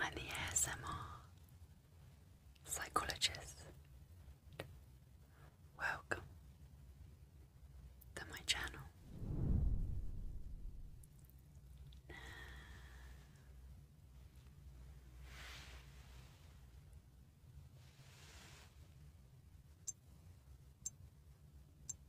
I'm the ASMR psychologist. Welcome to my channel.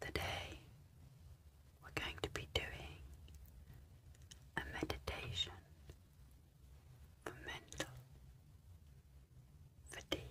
Today, we're going to be doing a meditation for mental fatigue.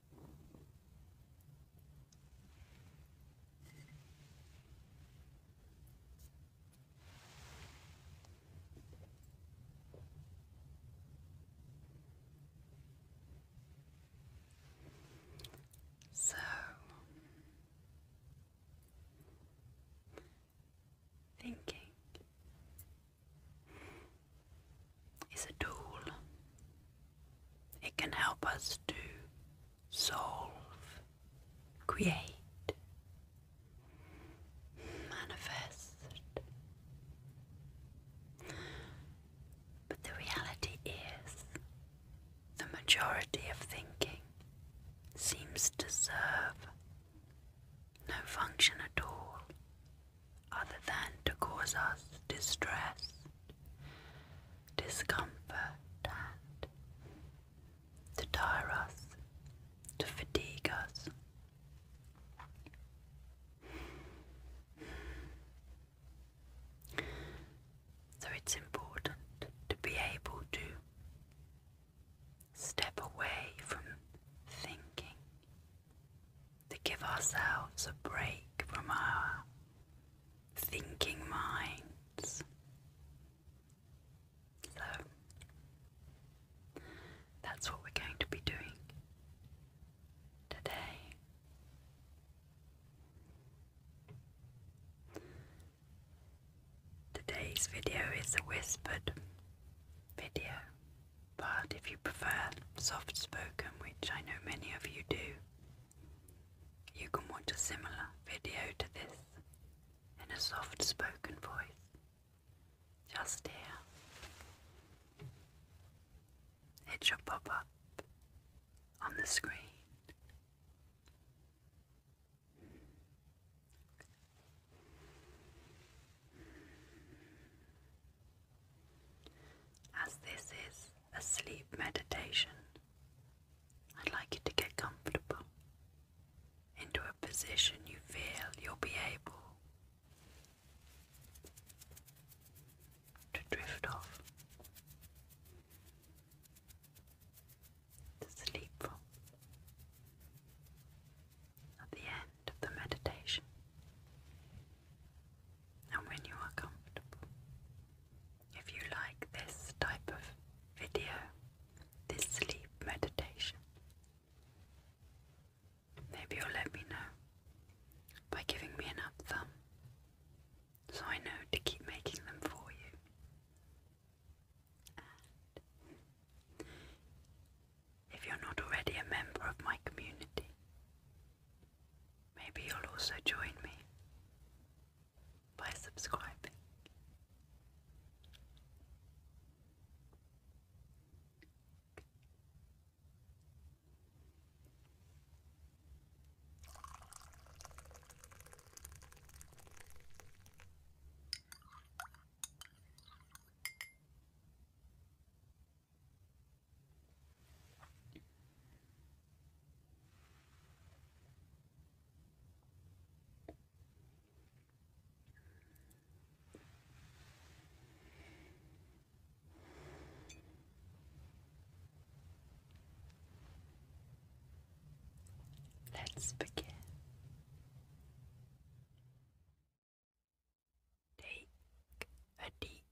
So thinking is a tool. It can help us to solve, create, manifest. But the reality is, the majority of thinking seems to serve no function at all other than to cause us distress, discomfort, and to tire us, to fatigue us. So it's important to be able to step away from thinking to give ourselves a break from our thinking minds. So that's what we're going to be doing today. Today's video is a whispered video, but if you prefer soft spoken, which I know many of you do, you can watch a similar video to this in a soft spoken voice, just here. It should pop up on the screen. As this is a sleep meditation, I'd like you to get comfortable into a position you feel you'll be able to drift off to sleep from. At the end of the meditation, and when you are comfortable. If you like this type of video, this sleep meditation, maybe you'll let me know by giving me an up thumb so I know to keep making them for you. And if you're not already a member of my community, Maybe you'll also join me by subscribing. Let's begin. Take a deep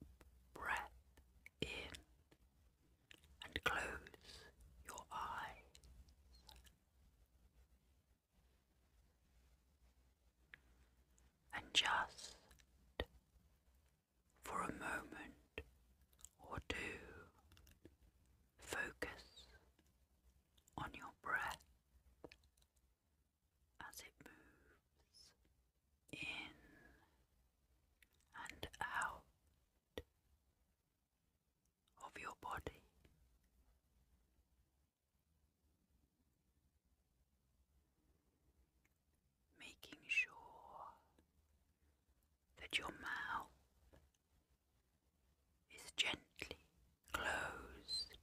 breath in and close your eyes. And just for a moment or two, focus on your breath as it moves in and out of your body. Making sure that your mouth is gently closed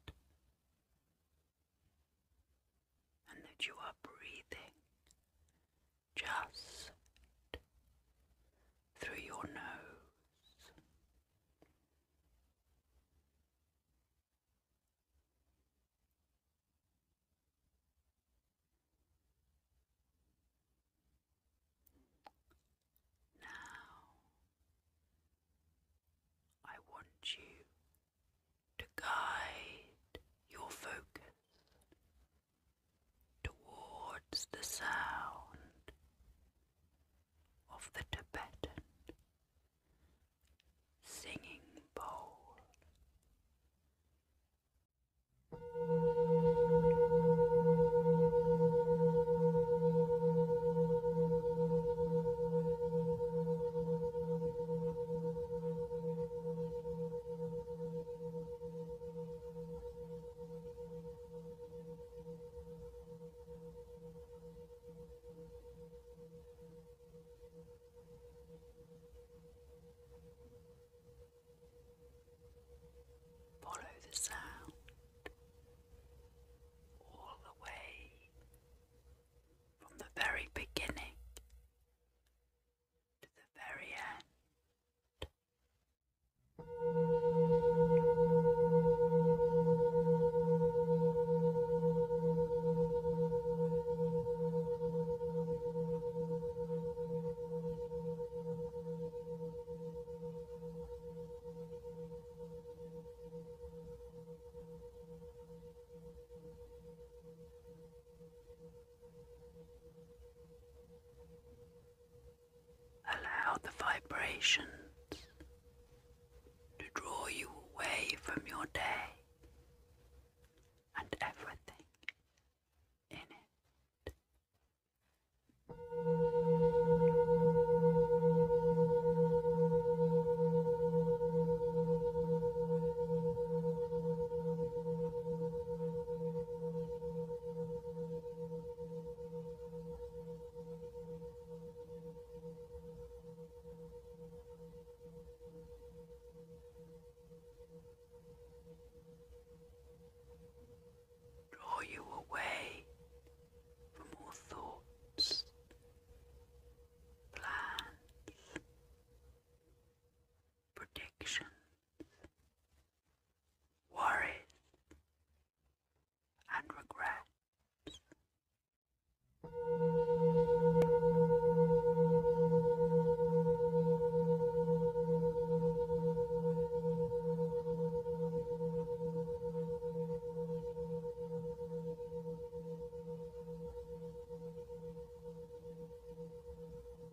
and that you are breathing just through your nose. Now, I want you to guide your focus towards the sound of the Tibetan singing bowl. Follow the sound all the way from the very beginning to the very end. Allow the vibrations to draw you away from your day and everything in it. Draw you away from all thoughts, plans, predictions, worries, and regrets.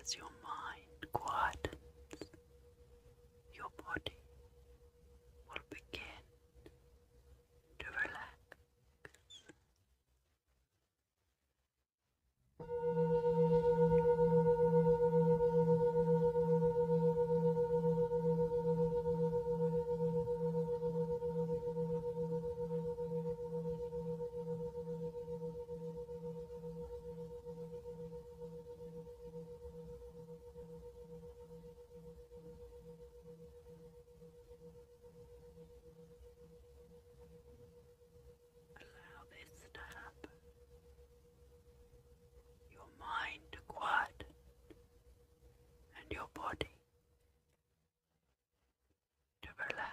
as your mind quietens, your body will begin to relax. Allow this to happen. Your mind to quiet and your body to relax.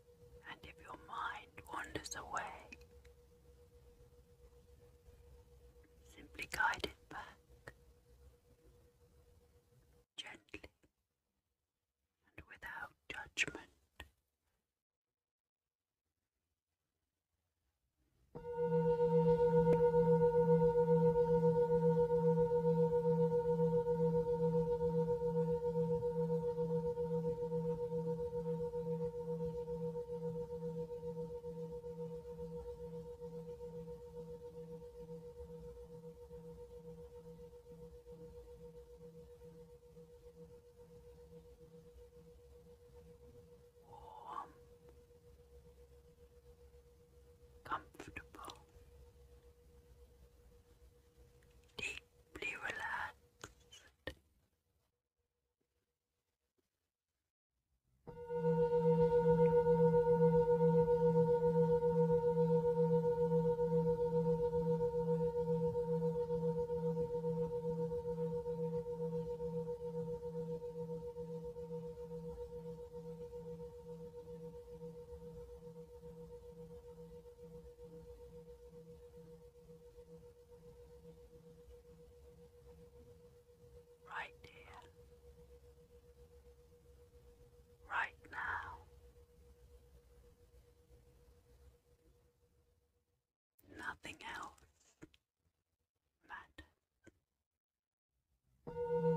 and if your mind wanders away, simply guide it back gently and without judgment warm, comfortable, deep relaxed. Relax. Right here, right now. Nothing else matters.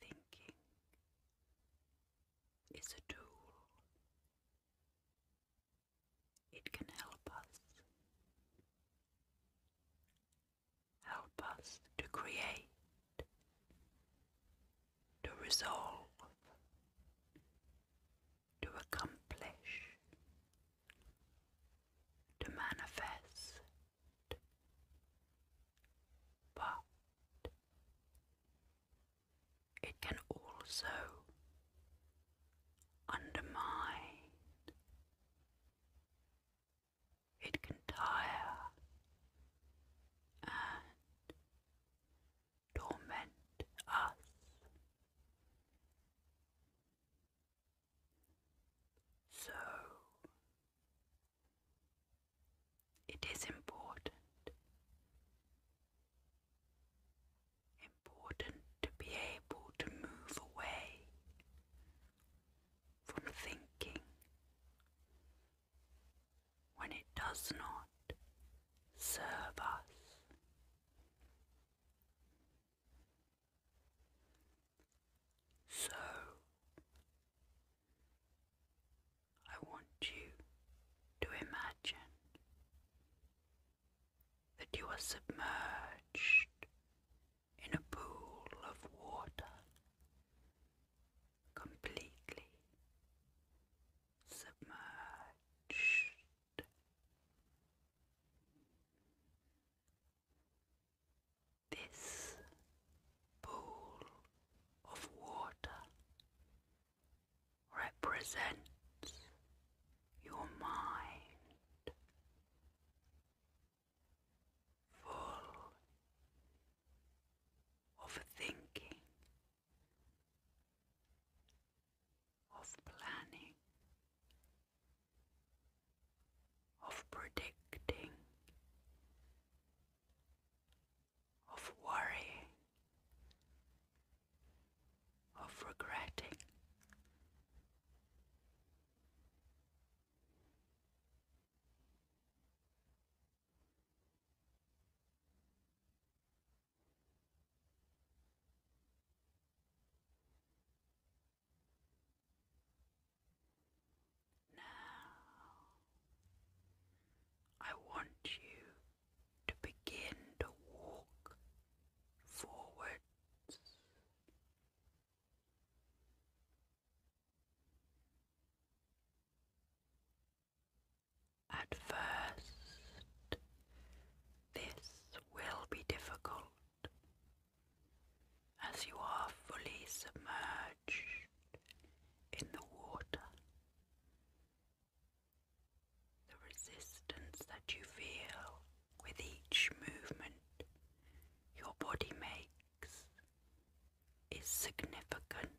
Thinking is a tool. It can help us help us to create, to resolve, to accomplish, to manifest. But it can also undermine it can tire and torment us. So, it is important, important to be able to move away from thinking. When it does not serve us, so I want you to imagine that you are submerged in a pool of water, completely submerged. This pool of water represents your mind full of thinking, of planning, of predicting, of worrying, of regretting. Now, I want you to begin to walk forwards at first, this will be difficult as you are fully submerged in the water. The resistance that you feel with each movement your body makes is significant.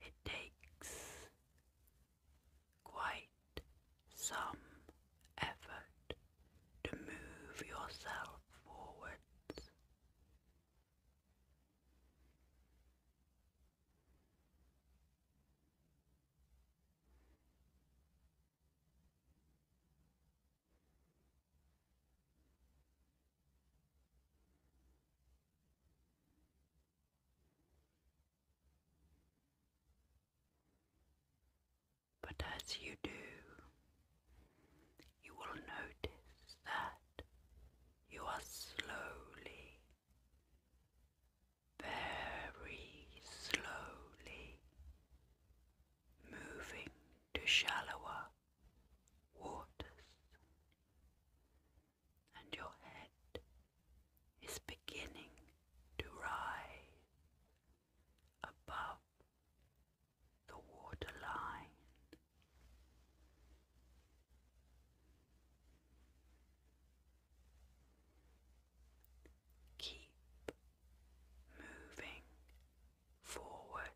It takes quite some effort to move yourself forwards but as you do, you will notice that you are slowly, very slowly moving to shallower waters, and your head is beginning to rise above the waterline. Keep moving forwards.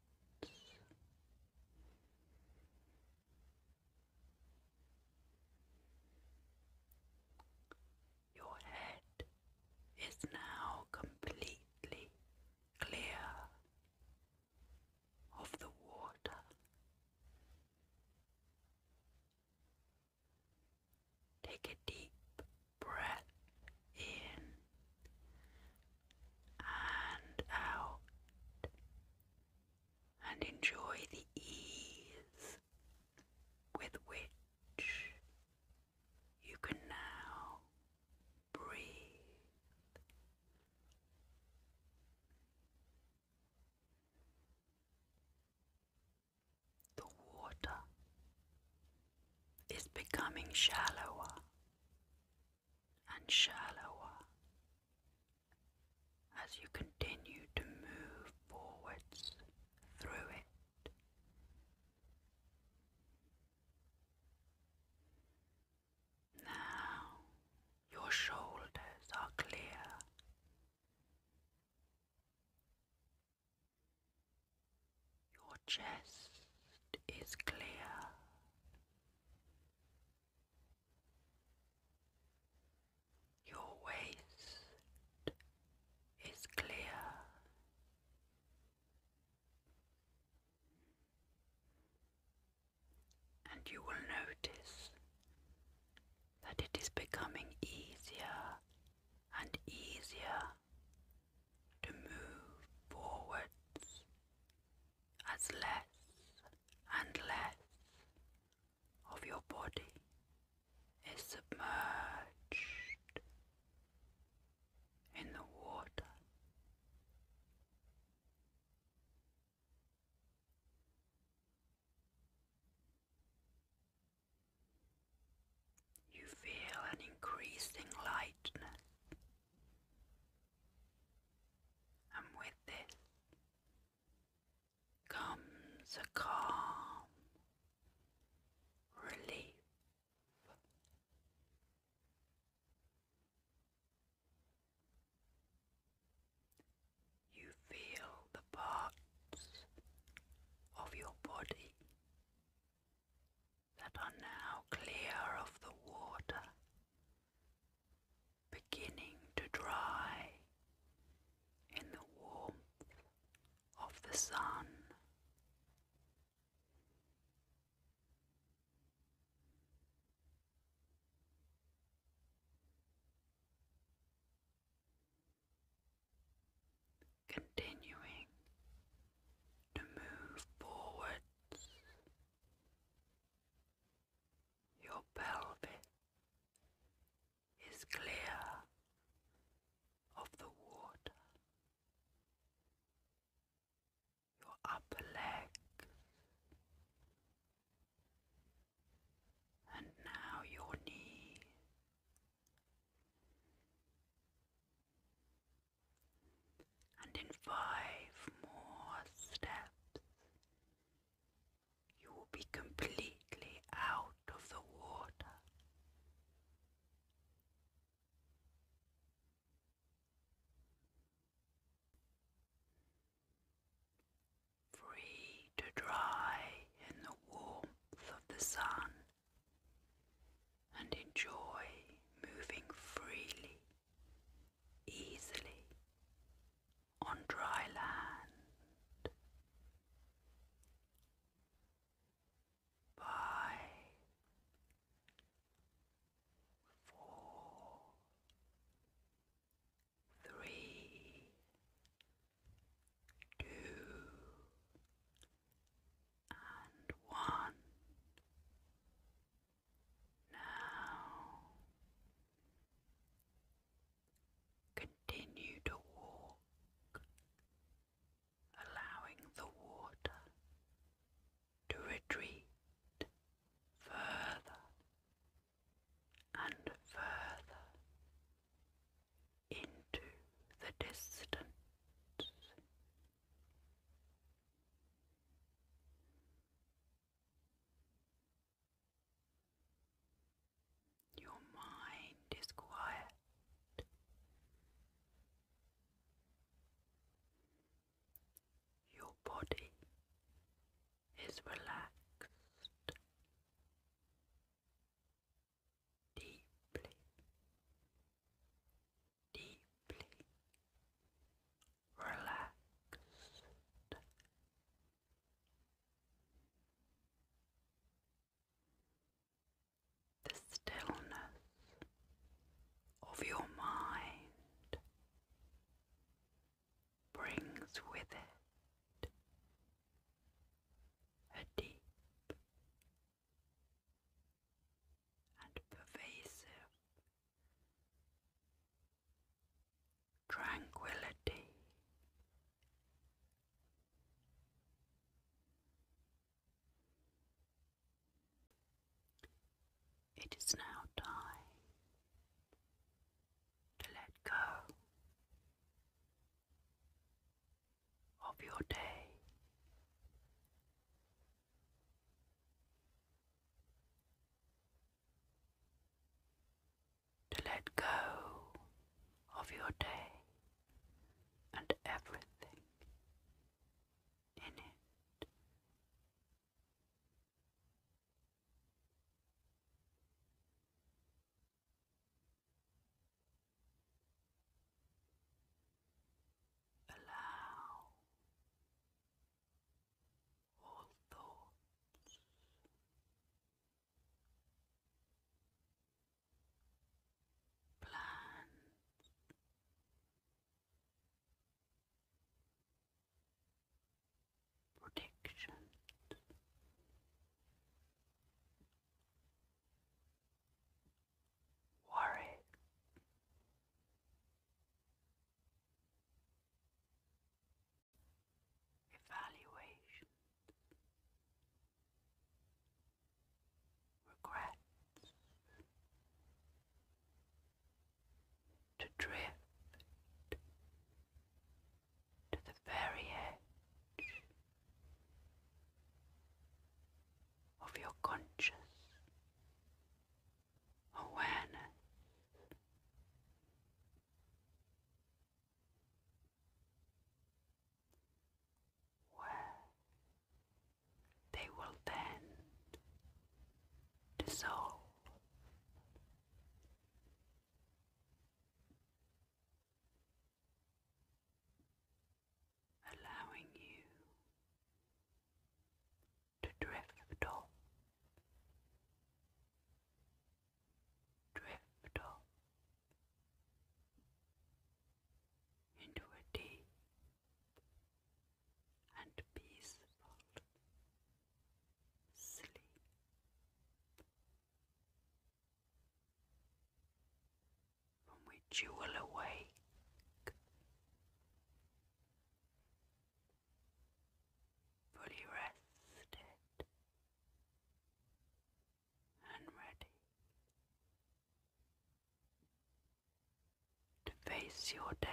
Your head is now completely clear of the water. Take a deep breath in and out and enjoy the ease with which you can now breathe. The water is becoming shallower and shallower as you continue to move forwards through it. Now your shoulders are clear. Your chest is clear. Your waist is clear. And you will notice that it is becoming easier and easier to move forwards as less and less of your body is submerged in the water. You feel an increasing lightness, and with this comes a calm relief you feel the parts of your body that are now clear of the water beginning to dry in the warmth of the sun. Continuing to move forwards, your pelvis is clear of the water your upper leg. And now your knee. And in five more steps, you will be completely out of the water free to dry in the warmth of the sun and enjoy moving freely, easily on dry land. Five four, three, two, and one. Now continue to walk, allowing the water to retreat further and further into the distance. Your mind is quiet. Your body is relaxed deeply, deeply relaxed. The stillness of your mind brings with it a deep and pervasive tranquility. It is now time to let go of your day. To let go of your day and everything in it. Allow all thoughts plans predictions. Worry. Evaluation. Regrets to drift to the very edge of your conscious awareness. Where they will then dissolve allowing you to drift off, drift off into a deep and peaceful sleep. From which you will awake fully rested and ready to face your day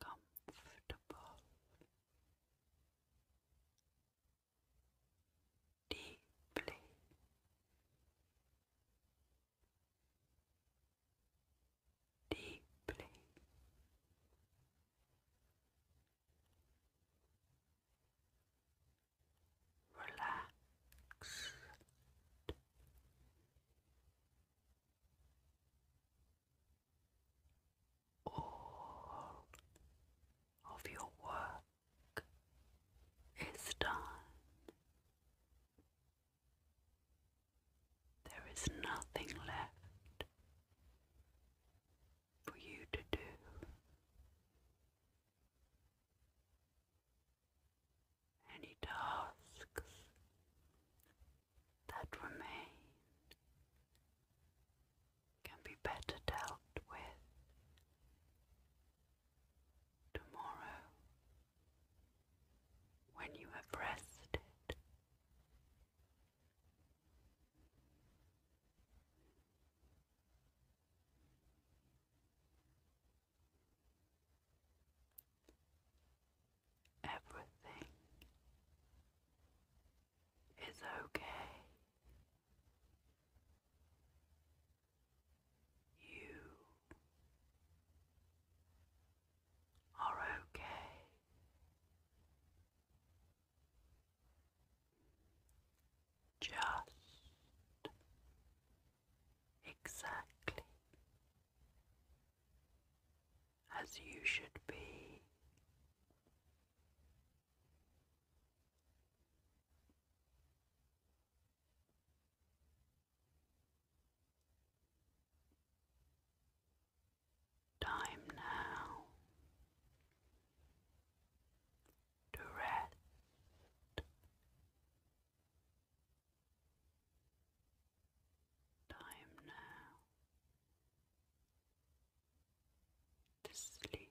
comfortable deeply. Deeply. Relaxed. All of your work it's done. There is nothing left for you to do. Any tasks that remain can be better dealt with Tomorrow, when you have rested, everything is okay. You are okay. Just exactly as you should be. Time now to rest. Time now to sleep.